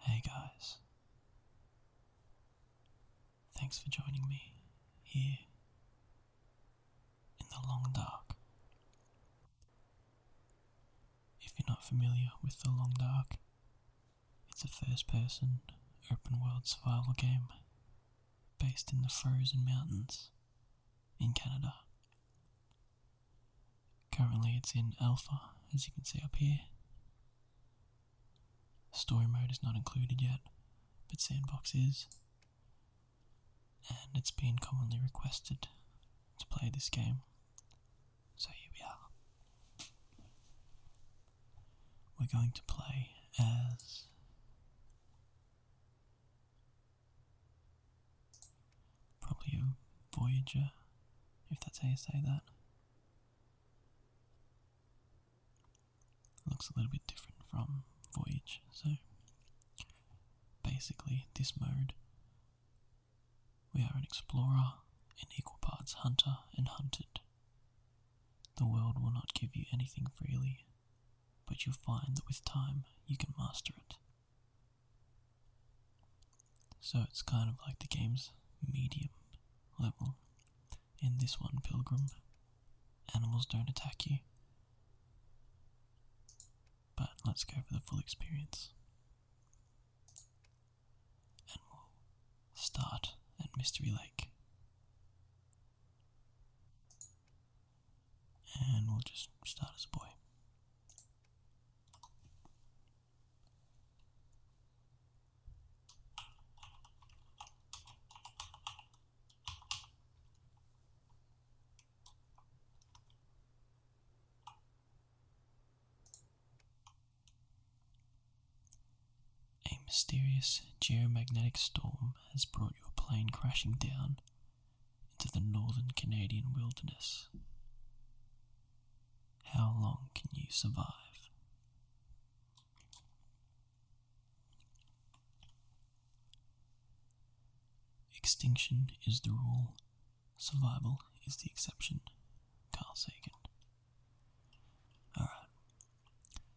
Hey guys, thanks for joining me here in the long dark. If you're not familiar with The Long Dark, it's a first person open world survival game based in the frozen mountains in Canada. Currently, it's in alpha, as you can see up here. Story mode is not included yet, but sandbox is, and it's been commonly requested to play this game, so here we are. We're going to play as probably a Voyager, if that's how you say that looks a little bit different from Voyage. So basically, this mode, we are an explorer in equal parts hunter and hunted. The world will not give you anything freely, but you'll find that with time you can master it. So it's kind of like the game's medium level. In this one, Pilgrim, animals don't attack you, but let's go for the full experience. And we'll start at Mystery Lake. And we'll just start as a boy. A mysterious geomagnetic storm has brought your plane crashing down into the northern Canadian wilderness. How long can you survive? Extinction is the rule, survival is the exception. Carl Sagan. Alright,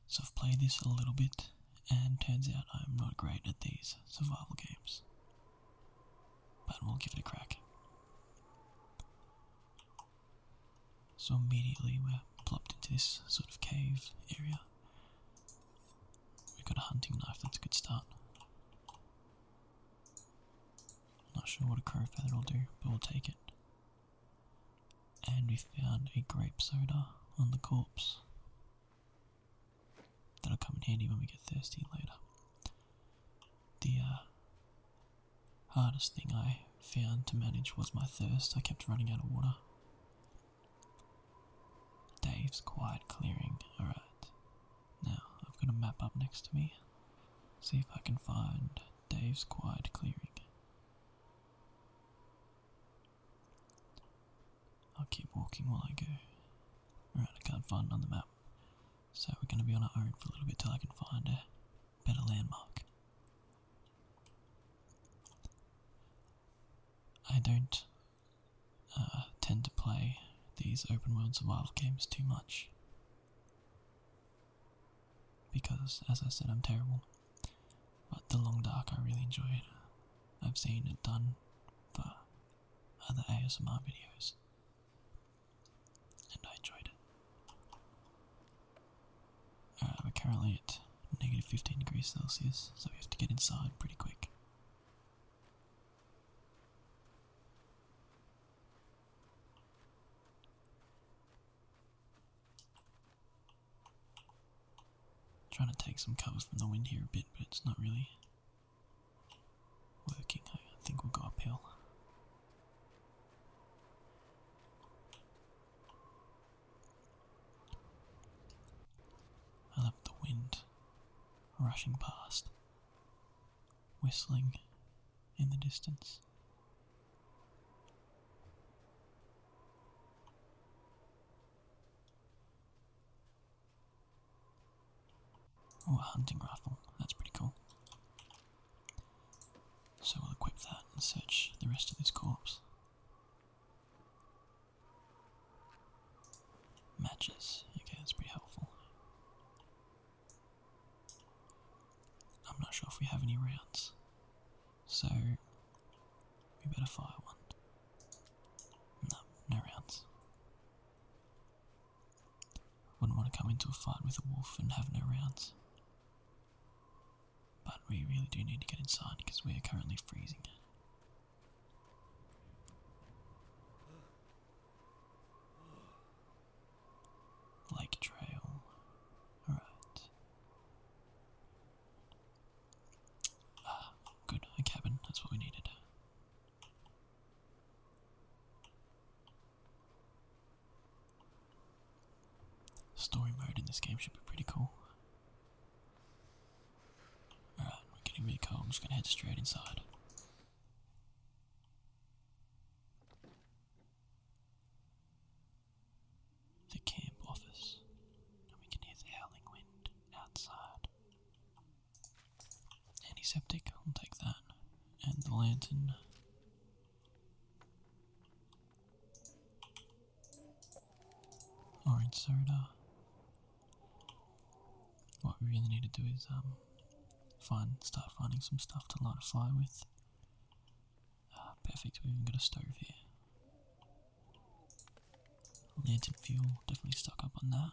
so I've played this a little bit, and turns out I'm not great at these survival games. But we'll give it a crack. So immediately we're plopped into this sort of cave area. We've got a hunting knife, that's a good start. Not sure what a crow feather will do, but we'll take it. And we found a grape soda on the corpse. That'll come in handy when we get thirsty later. The uh, hardest thing I found to manage was my thirst. I kept running out of water. Dave's quiet clearing. Alright. Now, I've got a map up next to me. See if I can find Dave's quiet clearing. I'll keep walking while I go. Alright, I can't find it on the map. So we're going to be on our own for a little bit till I can find a better landmark. I don't uh, tend to play these open world survival games too much because, as I said, I'm terrible. But The Long Dark I really enjoyed. I've seen it done for other ASMR videos and I enjoyed it. Uh, we're currently at negative 15 degrees Celsius, so we have to get inside pretty quick. Trying to take some cover from the wind here a bit, but it's not really working. I think we'll go uphill. I love the wind rushing past, whistling in the distance. Oh, a hunting rifle. That's pretty cool. So we'll equip that and search the rest of this corpse. Matches. Okay, that's pretty helpful. I'm not sure if we have any rounds, so we better fire one. No, no rounds. Wouldn't want to come into a fight with a wolf and have no rounds. But we really do need to get inside because we are currently freezing. Lake Trail. Alright. Ah, good. A cabin. That's what we needed. Story mode in this game should be pretty cool. Alright, we're getting really cold. I'm just gonna head straight inside. The camp office. And we can hear the howling wind outside. Antiseptic, I'll take that. And the lantern orange soda. What we really need to do is um, find start finding some stuff to light a fire with. Ah, perfect, we've even got a stove here. Lantern fuel, definitely stock up on that.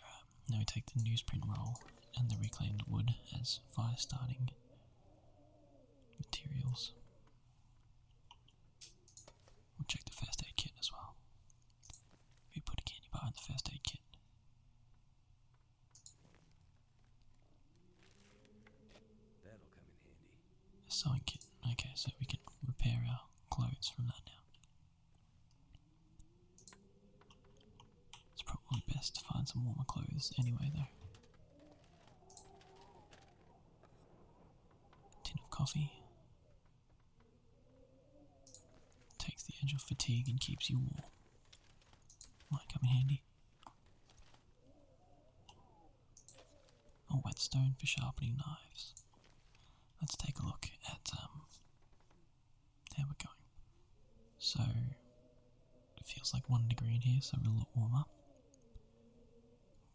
Um, now we take the newsprint roll and the reclaimed wood as fire starting materials. We'll check the first aid kit as well. We put a candy bar in the first aid kit. That'll come in handy. A sewing kit. Okay, so we can repair our clothes from that now. It's probably best to find some warmer clothes anyway, though. tin of coffee takes the edge off fatigue and keeps you warm. Might come in handy. A whetstone for sharpening knives. Let's take a look at um, how we're going. So, feels like one degree in here, so we're a lot warmer.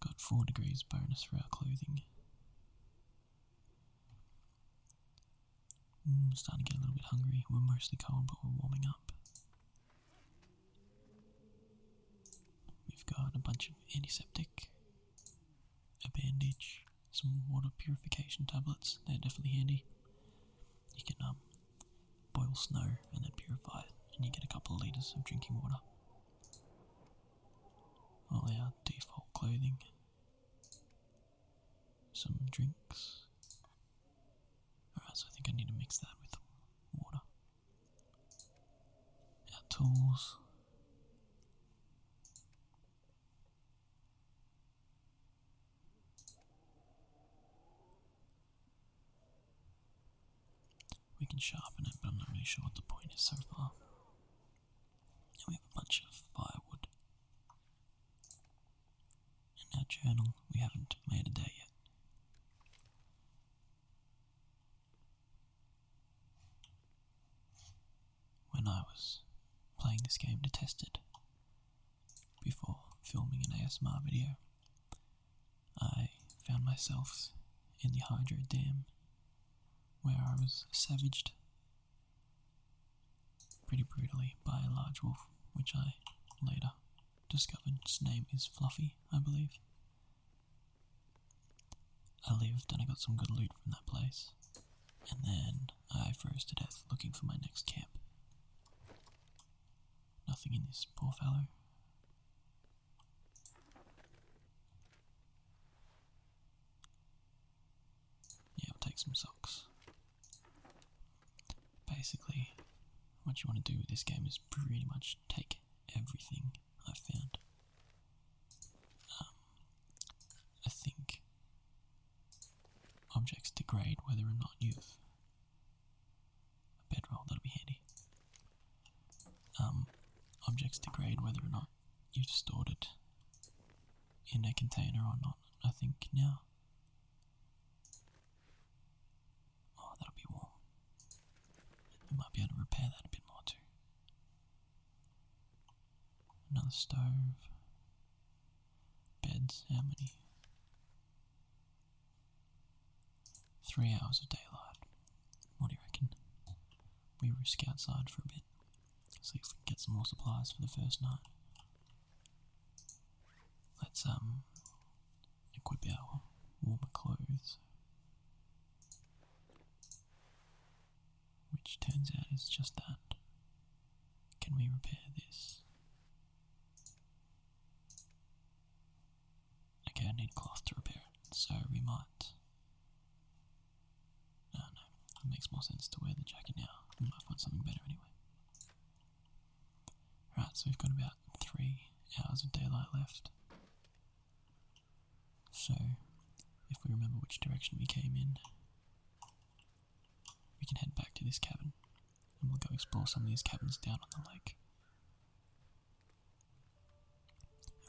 Got four degrees bonus for our clothing. Mm, starting to get a little bit hungry. We're mostly cold, but we're warming up. We've got a bunch of antiseptic, a bandage, some water purification tablets. They're definitely handy. You can um, boil snow and then purify it, and you get a couple litres of drinking water. All our default clothing, some drinks. Alright, so I think I need to mix that with water. Our tools. We can sharpen it, but I'm not really sure what the point is so far. And we have a bunch of firewood. In that journal, we haven't made a day yet. When I was playing this game to test it, before filming an ASMR video, I found myself in the Hydro Dam where I was savaged pretty brutally by a large wolf, which I later discovered its name is Fluffy, I believe. I lived and I got some good loot from that place, and then I froze to death looking for my next camp. Nothing in this poor fellow. Yeah, take some socks. Basically, what you want to do with this game is pretty much take everything I've found. Um, I think objects degrade whether or not you've a bedroll, that'll be handy. Um, objects degrade whether or not you've stored it in a container or not, I think now. Oh, that'll be warm. might be able to repair that a bit more too. Another stove. Beds, how many? Three hours of daylight. What do you reckon? We risk outside for a bit, see if we can get some more supplies for the first night. Let's um equip our warmer clothes. Which turns out is just that. Can we repair this? Okay, I need cloth to repair it, so we might. No, no, it makes more sense to wear the jacket now. We might find something better anyway. Right, so we've got about three hours of daylight left. So, if we remember which direction we came in, we can head back to this cabin and we'll go explore some of these cabins down on the lake.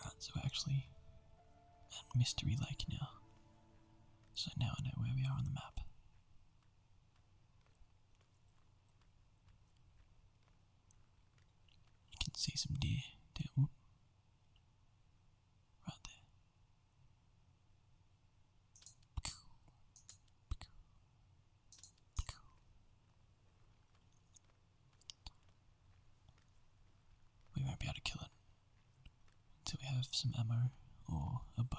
Alright, so we're actually at Mystery Lake now. So now I know where we are on the map. You can see some deer down right there. We won't be able to kill it until we have some ammo or a bow.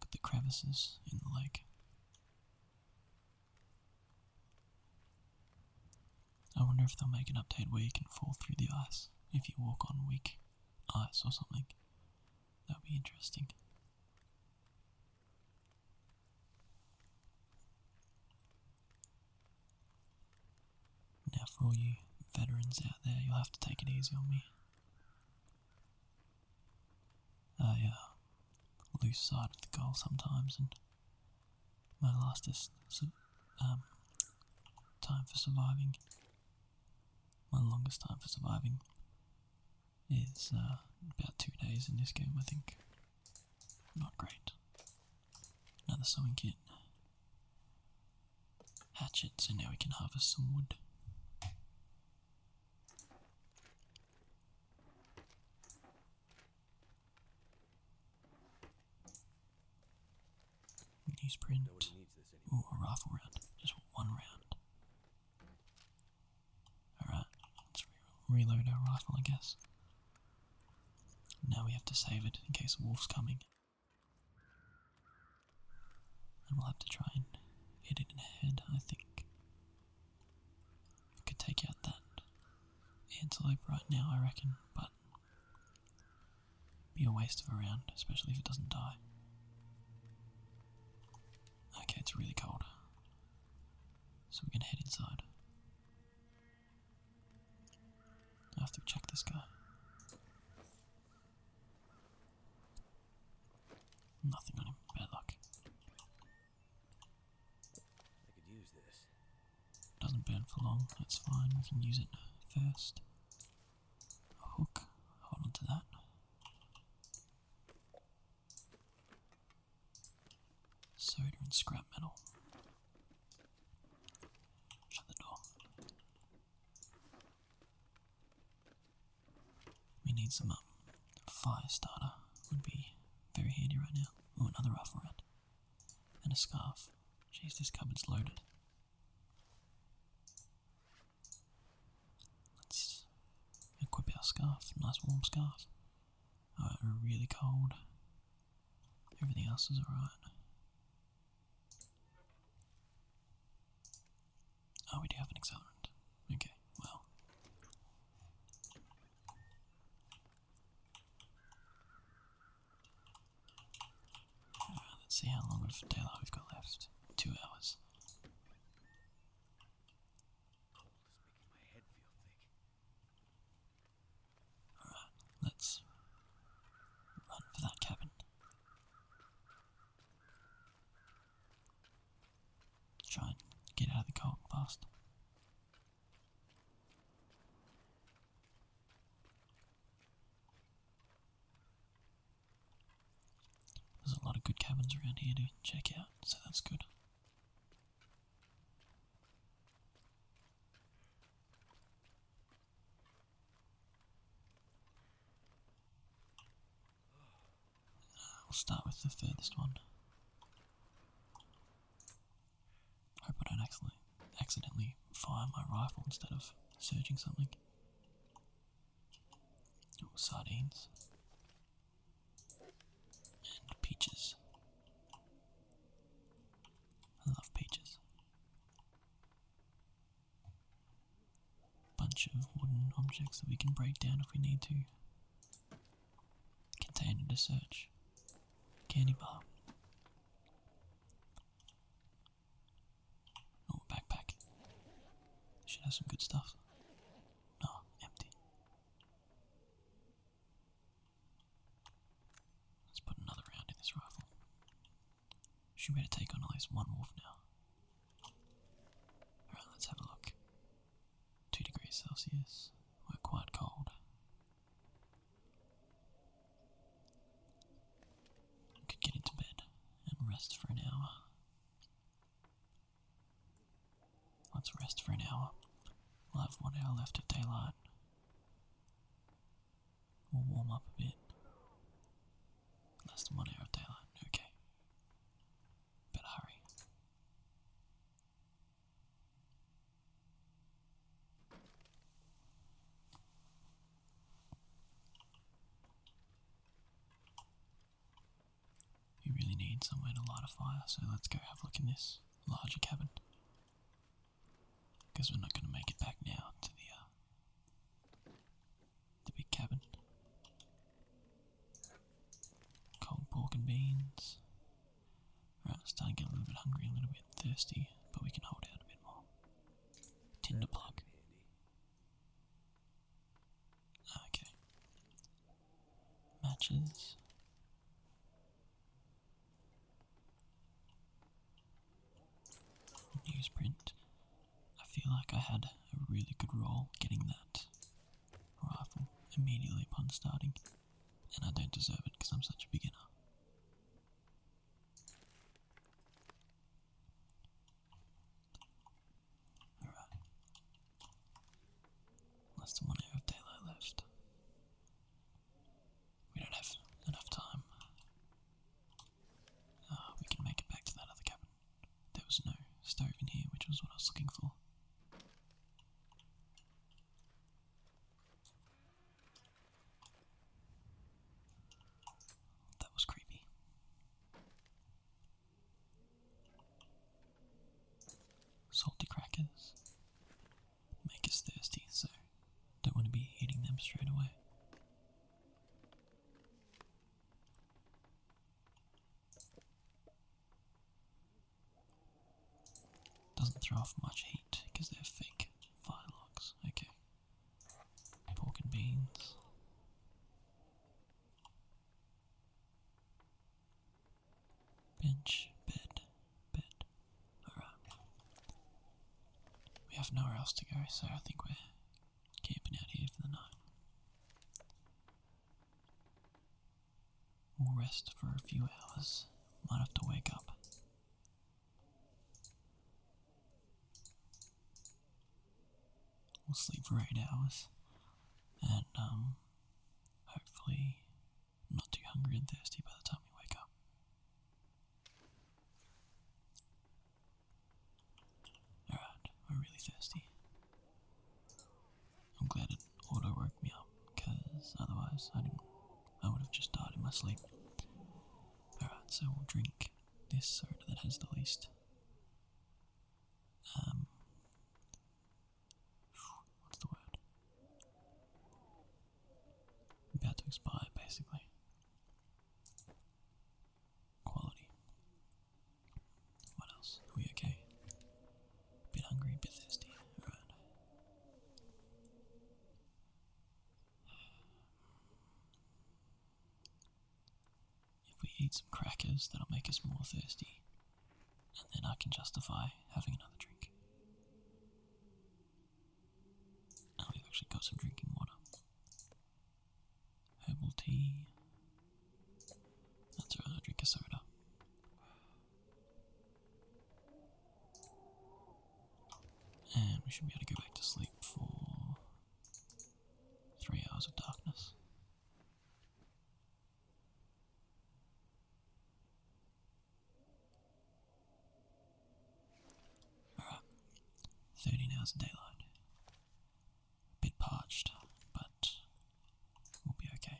Look at the crevices in the lake. I wonder if they'll make an update where you can fall through the ice if you walk on weak ice or something. That would be interesting. Now, for all you veterans out there, you'll have to take it easy on me. I uh, lose sight of the goal sometimes and my lastest um, time for surviving, my longest time for surviving is uh, about two days in this game, I think. Not great. Another sewing kit. Hatchet, so now we can harvest some wood. Newsprint. Ooh, a rifle round. Just one round. Alright, let's reload our rifle, I guess. Now we have to save it in case a wolf's coming. And we'll have to try and hit it in the head, I think. We could take out that antelope right now, I reckon, but be a waste of a round, especially if it doesn't die. Okay, it's really cold. So we're gonna head inside. I have to check this guy. Nothing on him. Bad luck. I could use this. Doesn't burn for long, that's fine, we can use it first. A hook, hold on to that. Soda and scrap metal. Shut the door. We need some um, fire starter, would be very handy right now. Oh, another rifle round and a scarf. Jeez, this cupboard's loaded. Let's equip our scarf. Nice warm scarf. Oh, it's really cold. Everything else is alright. Oh, we do have an accelerant. Okay, well let's see how long of daylight we've got left. Two hours. Alright, let's run for that cabin. Try and get out of the cold fast. There's a lot of good cabins around here to check out, so that's good. We'll start with the furthest one. Hope I don't accidentally, fire my rifle instead of searching something. Ooh, sardines. And peaches. I love peaches. Bunch of wooden objects that we can break down if we need to. Container to search. Candy bar. Oh, backpack. Should have some good stuff. No, empty. Let's put another round in this rifle. Should be able to take on at least one wolf now. Alright, let's have a look. Two degrees Celsius. We're quite cold. I could get into bed and rest for an hour. Let's rest for an hour. We'll have one hour left of daylight. We'll warm up a bit. Less than one hour of daylight, okay. Better hurry. You really need somewhere to light a fire, so let's go have a look in this larger cabin. Because we're not going to make it back now to the uh, the big cabin. Cold pork and beans. Right, starting to get a little bit hungry, a little bit thirsty, but we can hold out a bit more. Tinder plug. Okay. Matches. Newsprint. I feel like I had a really good role getting that rifle immediately upon starting. And I don't deserve it because I'm such a beginner. Alright. Less than one hour of daylight left. We don't have enough time. Ah, we can make it back to that other cabin. There was no stove in here, which was what I was looking for. That was creepy. Salty crackers make us thirsty, so don't want to be eating them straight away. Doesn't throw off much heat because they're fake firelocks. Okay. Pork and beans. Bench, bed, bed. Alright. We have nowhere else to go, so I think we're camping out here for the night. We'll rest for a few hours. Might have to wake up. We'll sleep for eight hours and um, hopefully not too hungry and thirsty by the time we wake up. Alright, we're really thirsty. I'm glad auto woke me up because otherwise I didn't I would have just died in my sleep. Alright, so we'll drink this soda that has the least. Um what's the word? About to expire basically. Quality. What else? Are we okay? Bit hungry, a bit thirsty. If we eat some crackers, that'll make us more thirsty, and then I can justify having another drink. And have actually got some drinking water. Herbal tea. That's alright, i drink a soda. And we should be able to go back to sleep for three hours of darkness. Alright, 13 hours of daylight. bit parched, but we'll be okay.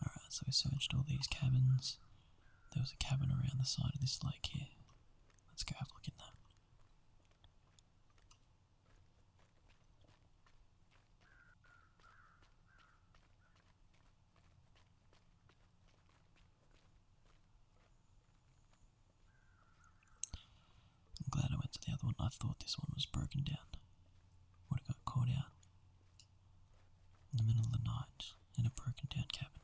Alright, so we searched all these cabins. There was a cabin around the side of this lake here. Let's go have a look in that. I'm glad I went to the other one. I thought this one was broken down. Would have got caught out in the middle of the night in a broken down cabin.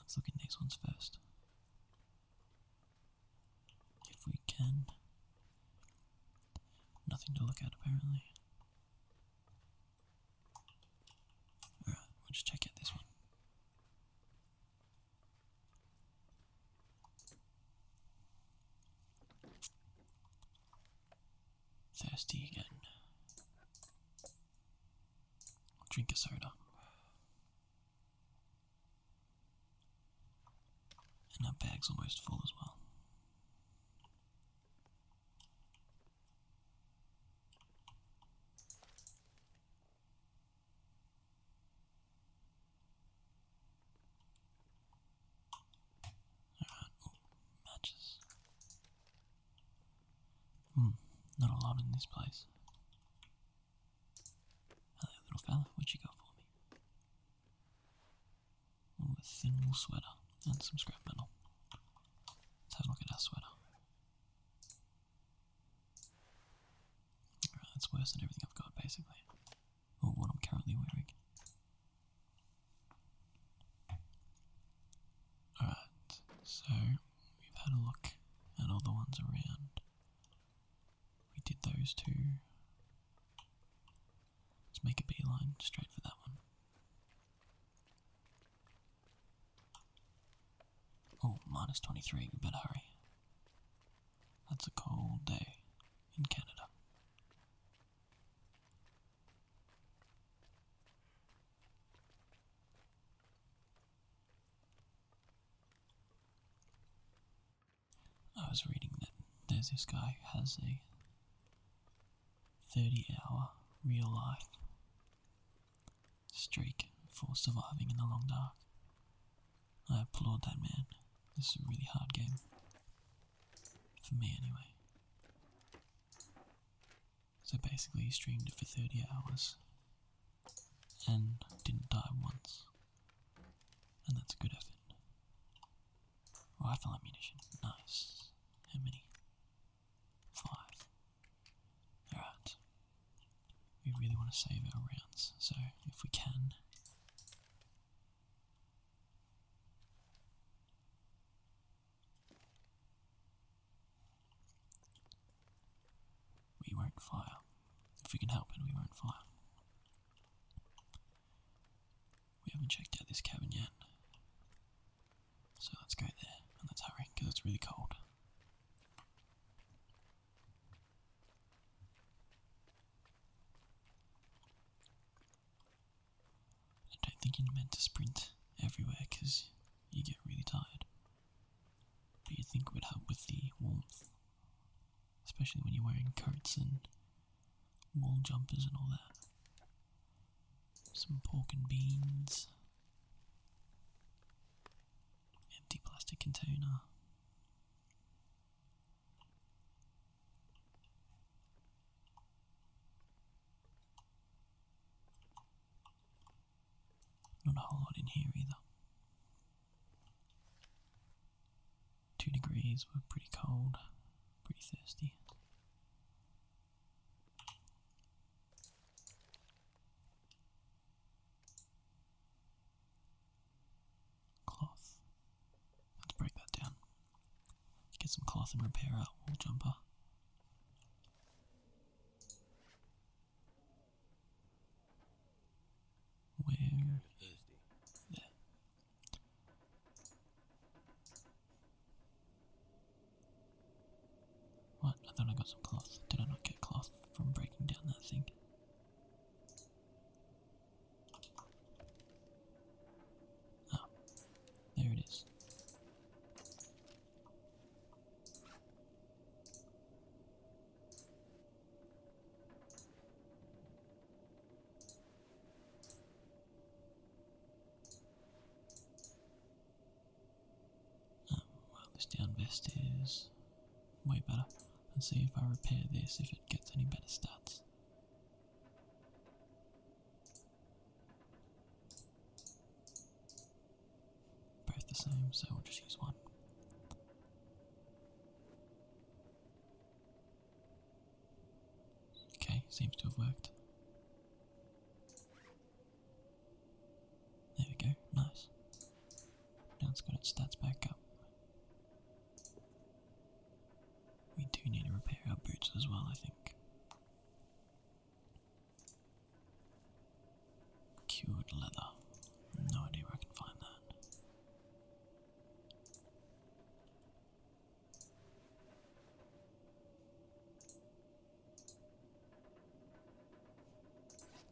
Let's look at these ones first if we can. Nothing to look at apparently. Alright, we'll just check out this one. Thirsty again. drink a soda. And that bag's almost full as well. Alright, matches. Hmm, not a lot in this place. Hello, little fella, what you got for me? a thin wool sweater and some scrap metal. Let's have a look at our sweater. Alright, that's worse than everything I've got basically. Or what I'm currently wearing. Alright, so we've had a look at all the ones around. We did those two. Let's make a beeline straight for that one. Oh, minus 23, we better hurry. That's a cold day in Canada. I was reading that there's this guy who has a 30 hour real life streak for surviving in the long dark. I applaud that man. This is a really hard game. For me, anyway. So basically, he streamed it for 30 hours and didn't die once. And that's a good effort. Rifle ammunition. Nice. How many? Five. Alright. We really want to save our rounds, so if we can. We won't fire. If we can help it, we won't fire. We haven't checked out this cabin yet. So let's go there and let's hurry because it's really cold. I don't think you're meant to sprint everywhere because you get really tired. But you think it would help with the warmth especially when you're wearing coats and wool jumpers and all that. Some pork and beans, empty plastic container. Not a whole lot in here either. Two degrees, we're pretty cold, pretty thirsty. Cloth. Let's break that down. Get some cloth and repair our wool jumper. Where? What? I thought I got some cloth. Did I not get cloth from breaking down that thing? Ah, there it is. Um, well, this down vest is way better. And see if I repair this, if it gets any better stats. Both the same, so we'll just use one. Okay, seems to have worked. There we go, nice. Now it's got its stats back up. We do need to repair our boots as well, I think. Cured leather. No idea where I can find that.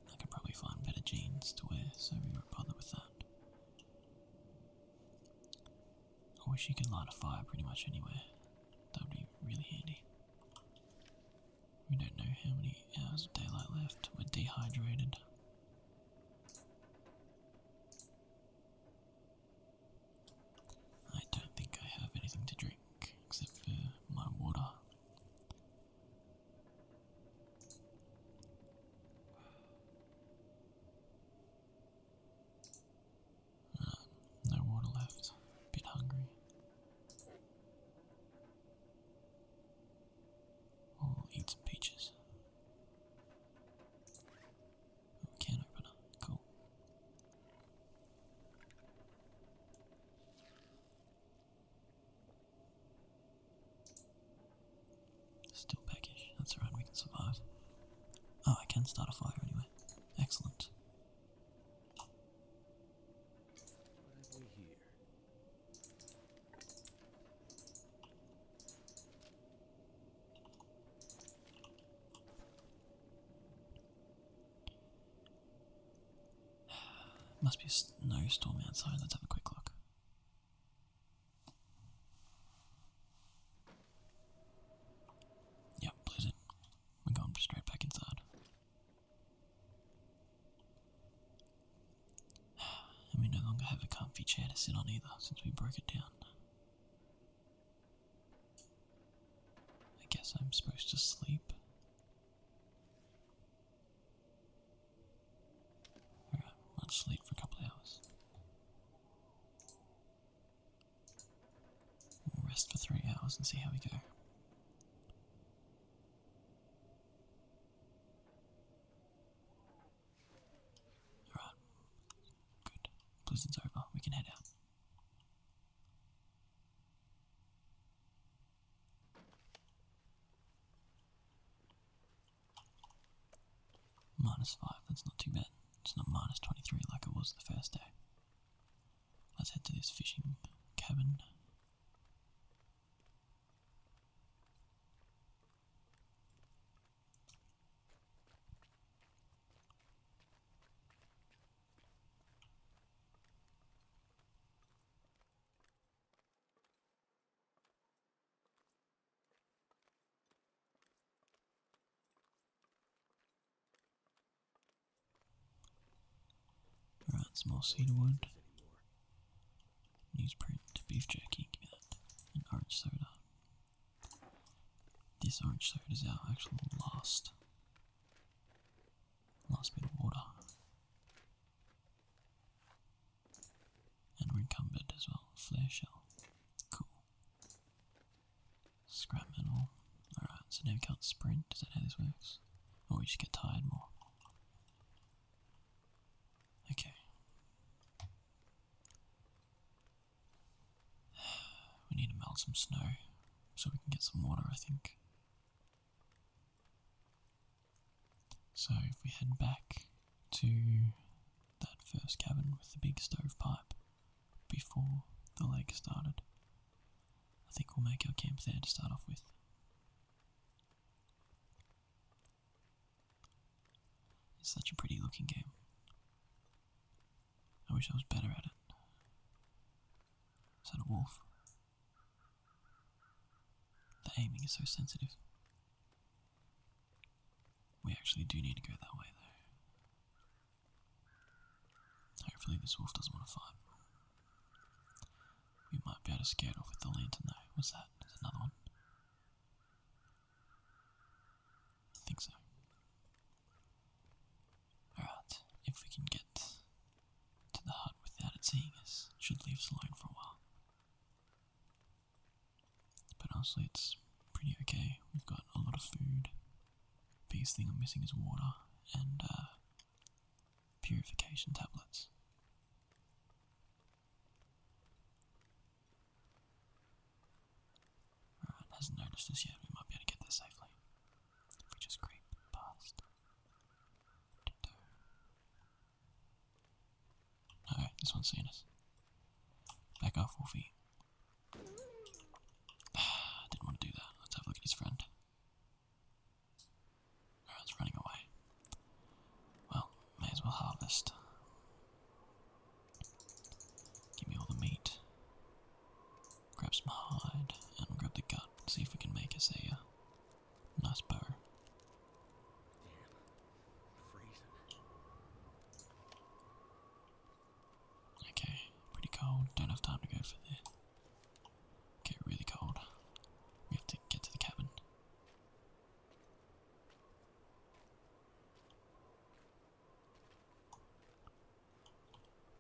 I could probably find better jeans to wear, so we not bother with that. I wish you could light a fire pretty much anywhere. That would be really handy. We don't know how many hours of daylight left. We're dehydrated. I don't think I have anything to drink except for my water. Uh, no water left. bit hungry. Oh, i eat some peaches. Oh, can opener, cool. Still peckish, that's alright, we can survive. Oh, I can start a fire anyway. Excellent. Must be a snowstorm outside. Let's have a quick look. Yep, blizzard. We're going straight back inside. And we no longer have a comfy chair to sit on either since we broke it down. I guess I'm supposed to sleep. Alright, let's sleep for a couple of hours. We'll rest for three hours and see how we go you Good. Blizzard's over. We can head out. Minus 5, that's not too bad. It's not minus 23 like it was the first day. Let's head to this fishing cabin some more seed wood. Newsprint, beef jerky, And orange soda. This orange soda is our actual last last bit of water. And we encumbered as well. Flare shell. Cool. Scrap metal. Alright, so now we can't sprint, is that how this works? Or oh, we just get tired more. Okay. We need to melt some snow so we can get some water, I think. So if we head back to that first cabin with the big stovepipe before the lake started, I think we'll make our camp there to start off with. It's such a pretty looking game. I wish I was better at it. Is that a wolf? The aiming is so sensitive. We actually do need to go that way, though. Hopefully, this wolf doesn't want to fight. We might be able to scare it off with the lantern, though. What's that? There's another one. I think so. Alright, if we can get to the hut without it seeing us, should leave us alone for a while. But honestly, it's pretty okay. We've got a lot of food. Biggest thing I'm missing is water and uh, purification tablets hasn't noticed us yet, we might be able to get there safely. If we just creep past. No, this one's seeing us. Back off, Wolfie. Ah, didn't want to do that. Let's have a look at his friend it's running away. Well, may as well harvest. Give me all the meat. Grab some hide, and we'll grab the gut. See if we can make us a uh, nice bow. Okay, pretty cold. Don't have time to go for there. Okay, really cold. We have to get to the cabin.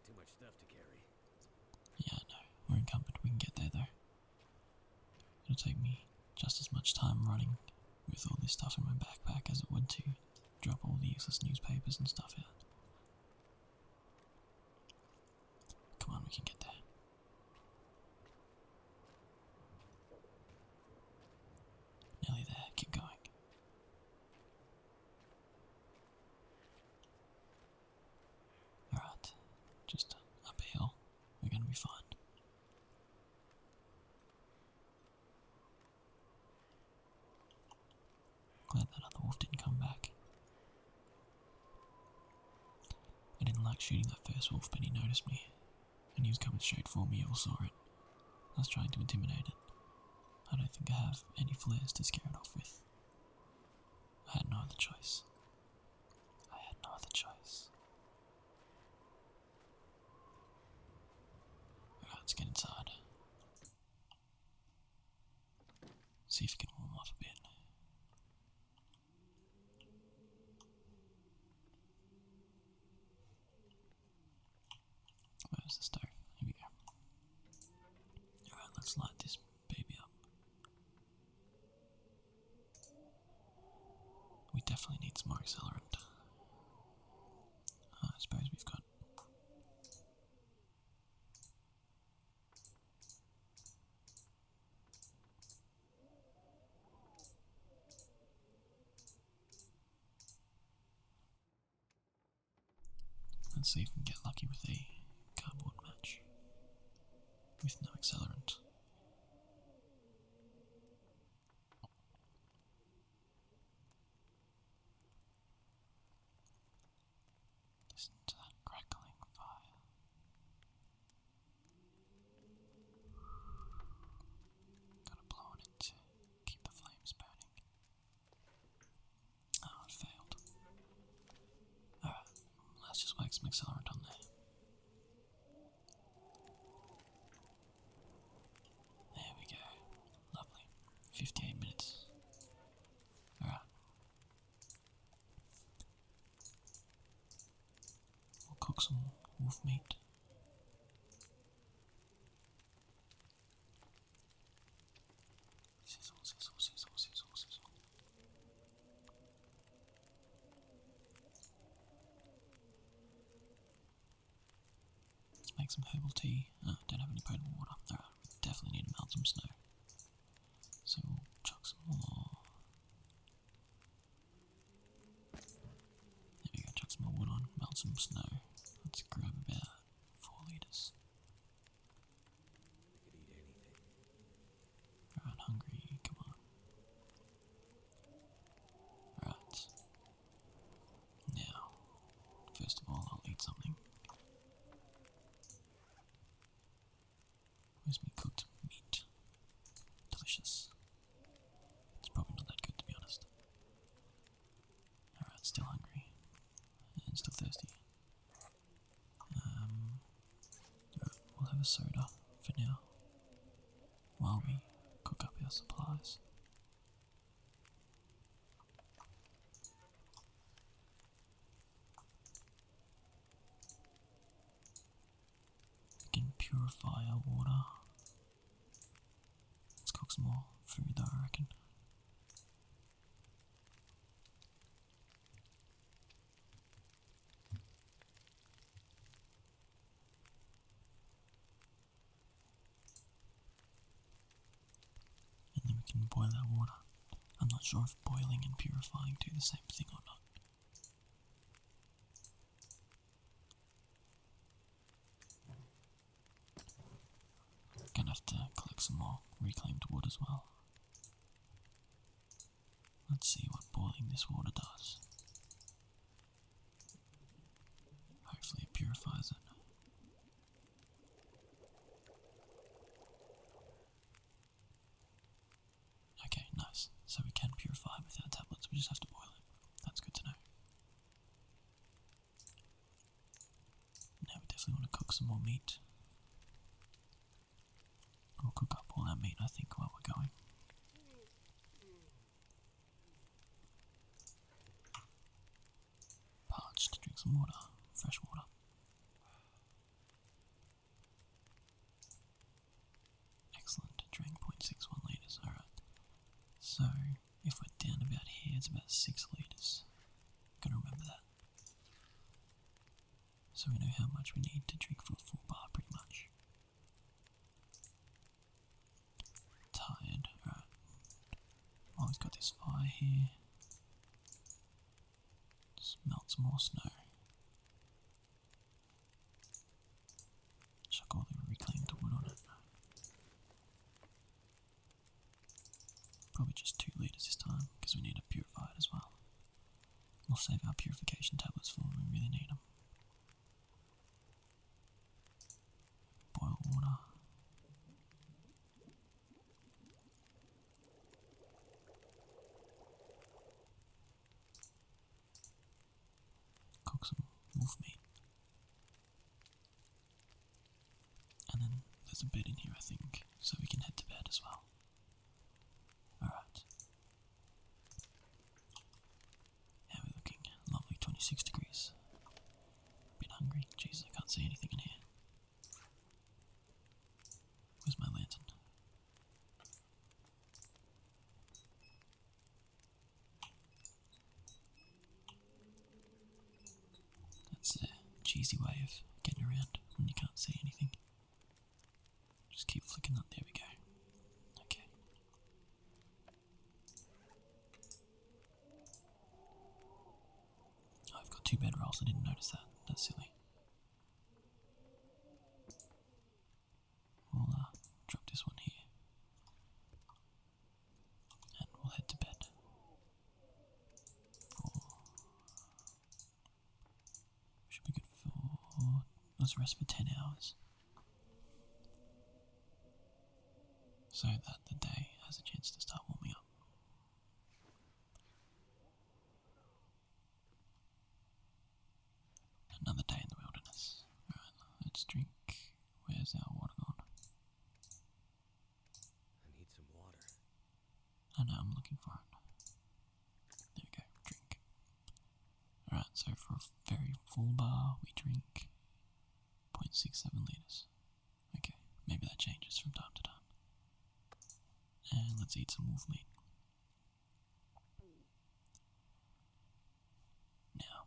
Too much stuff to carry. Yeah, no, we're encumbered. We can get there though. It'll take me just as much time running with all this stuff in my backpack as it would to drop all the useless newspapers and stuff out. Come on, we can get there. Nearly there, keep going. Alright, just up we're gonna be fine. Glad that other wolf didn't come back. I didn't like shooting that first wolf, but he noticed me, and he was coming straight for me, you all saw it. I was trying to intimidate it. I don't think I have any flares to scare it off with. I had no other choice. I had no other choice. let's get inside. See if it can warm up a bit. Where's the stove? Here we go. Alright, let's light this baby up. We definitely need some more accelerant. Uh, I suppose we've got. Let's see if we can get lucky with a cardboard match with no accelerant. Listen to that crackling fire. Gotta blow on it keep the flames burning. Oh, it failed. Alright, let's just whack some accelerant on there. There we go. Lovely. 58 minutes. Alright. We'll cook some wolf meat. Let's make some herbal tea. Oh, don't have any potable water. we definitely need to melt some snow. So we'll chuck some more there we go, chuck some wood on, melt some snow. Let's grab about four litres. Alright, hungry, come on. Right. Now, first of all, I'll eat something. Where's my cooked meat? Delicious. It's probably not that good to be honest. Alright, still hungry. And still thirsty. Um, we'll have a soda for now while we cook up our supplies. We can purify our water. Let's cook some more food though, I reckon. And then we can boil our water. I'm not sure if boiling and purifying do the same thing or not. Gonna have to collect some more reclaimed wood as well. Let's see what boiling this water does. Hopefully, it purifies it. Okay, nice. So we can purify it without tablets, we just have to boil it. That's good to know. Now we definitely want to cook some more meat. We'll cook up all that meat, I think, while we're going. Parched, drink some water, fresh water. Excellent, drawing 0.61 litres, alright. So, if we're down about here, it's about 6 litres. Gotta remember that. So we know how much we need to drink for a full bar, pretty much. Tired, alright. Always oh, got this fire here. Just more snow. Chuck all the wood on it. Probably just two litres this time, because we need to purify it as well. We'll save our purification tablets for when we really need them. Boil water. Coxon, Wolfmeat. And then there's a bed in here, I think, so we can head to bed as well. Alright. How are looking? Lovely 26 degrees. Bit hungry. Jesus, I can't see anything in here. Where's my lantern? That's a cheesy way of getting around when you can't see anything. Just keep flicking that. There we go. Okay. Oh, I've got two bed rolls. I didn't notice that. That's silly. We'll uh, drop this one here. And we'll head to bed. For should be good for let's rest for ten hours. So that the day has a chance to start warming up. Another day in the wilderness. Alright, let's drink. Where's our water gone? I need some water. I know, I'm looking for it. There we go, drink. Alright, so for a very full bar, we drink 0.67 litres. Okay, maybe that changes from time to time. And let's eat some wolf meat. Now,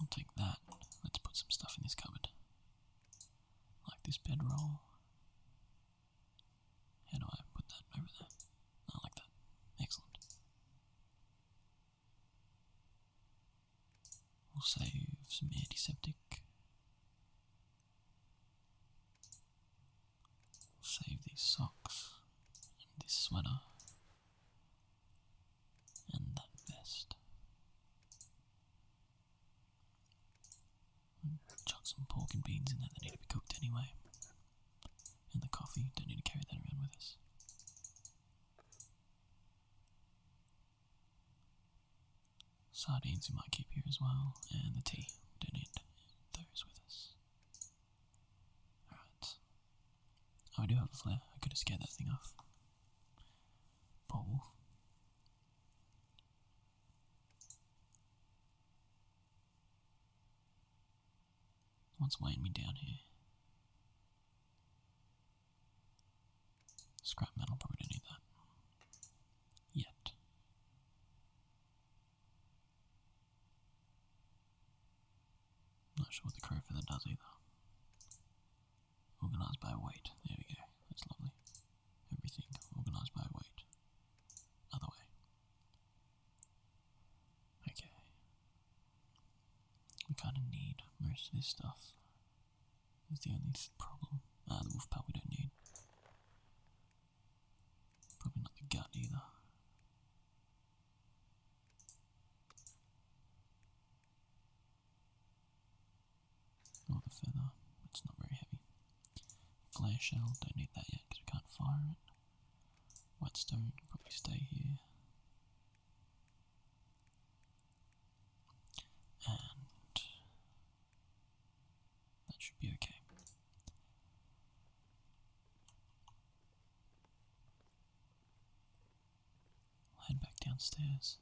I'll take that. Let's put some stuff in this cupboard. Like this bedroll. How do I put that over there? I like that. Excellent. We'll save some antiseptic save these socks and this sweater and that vest. Chuck some pork and beans in there, they need to be cooked anyway. And the coffee, don't need to carry that around with us. Sardines we might keep here as well, and the tea. don't need those with us. Alright. Oh, I do have a flare. I could have scared that thing off. Poor wolf. What's weighing me down here? Scrap metal, probably don't need that yet. Not sure what the crow feather does either. Organised by weight. There we go. That's lovely. Everything organised by weight. Other way. Okay. We kind of need most of this stuff. It's the only problem. Ah, the wolf pup we don't need. Probably not the gut either. Or the feather, it's not very heavy. Flare shell, don't need that yet because we can't fire it. Whetstone probably stay here. And that should be okay. I'll head back downstairs.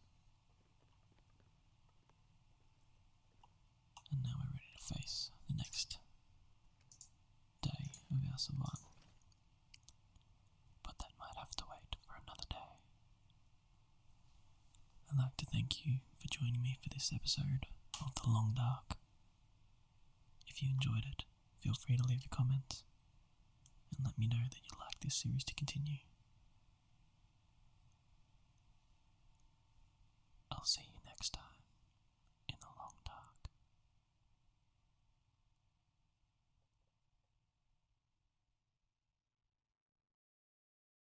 And now we're ready to face the next day of our survival. But that might have to wait for another day. I'd like to thank you for joining me for this episode of The Long Dark. If you enjoyed it, feel free to leave a comment and let me know that you'd like this series to continue. I'll see you next time in The Long Dark.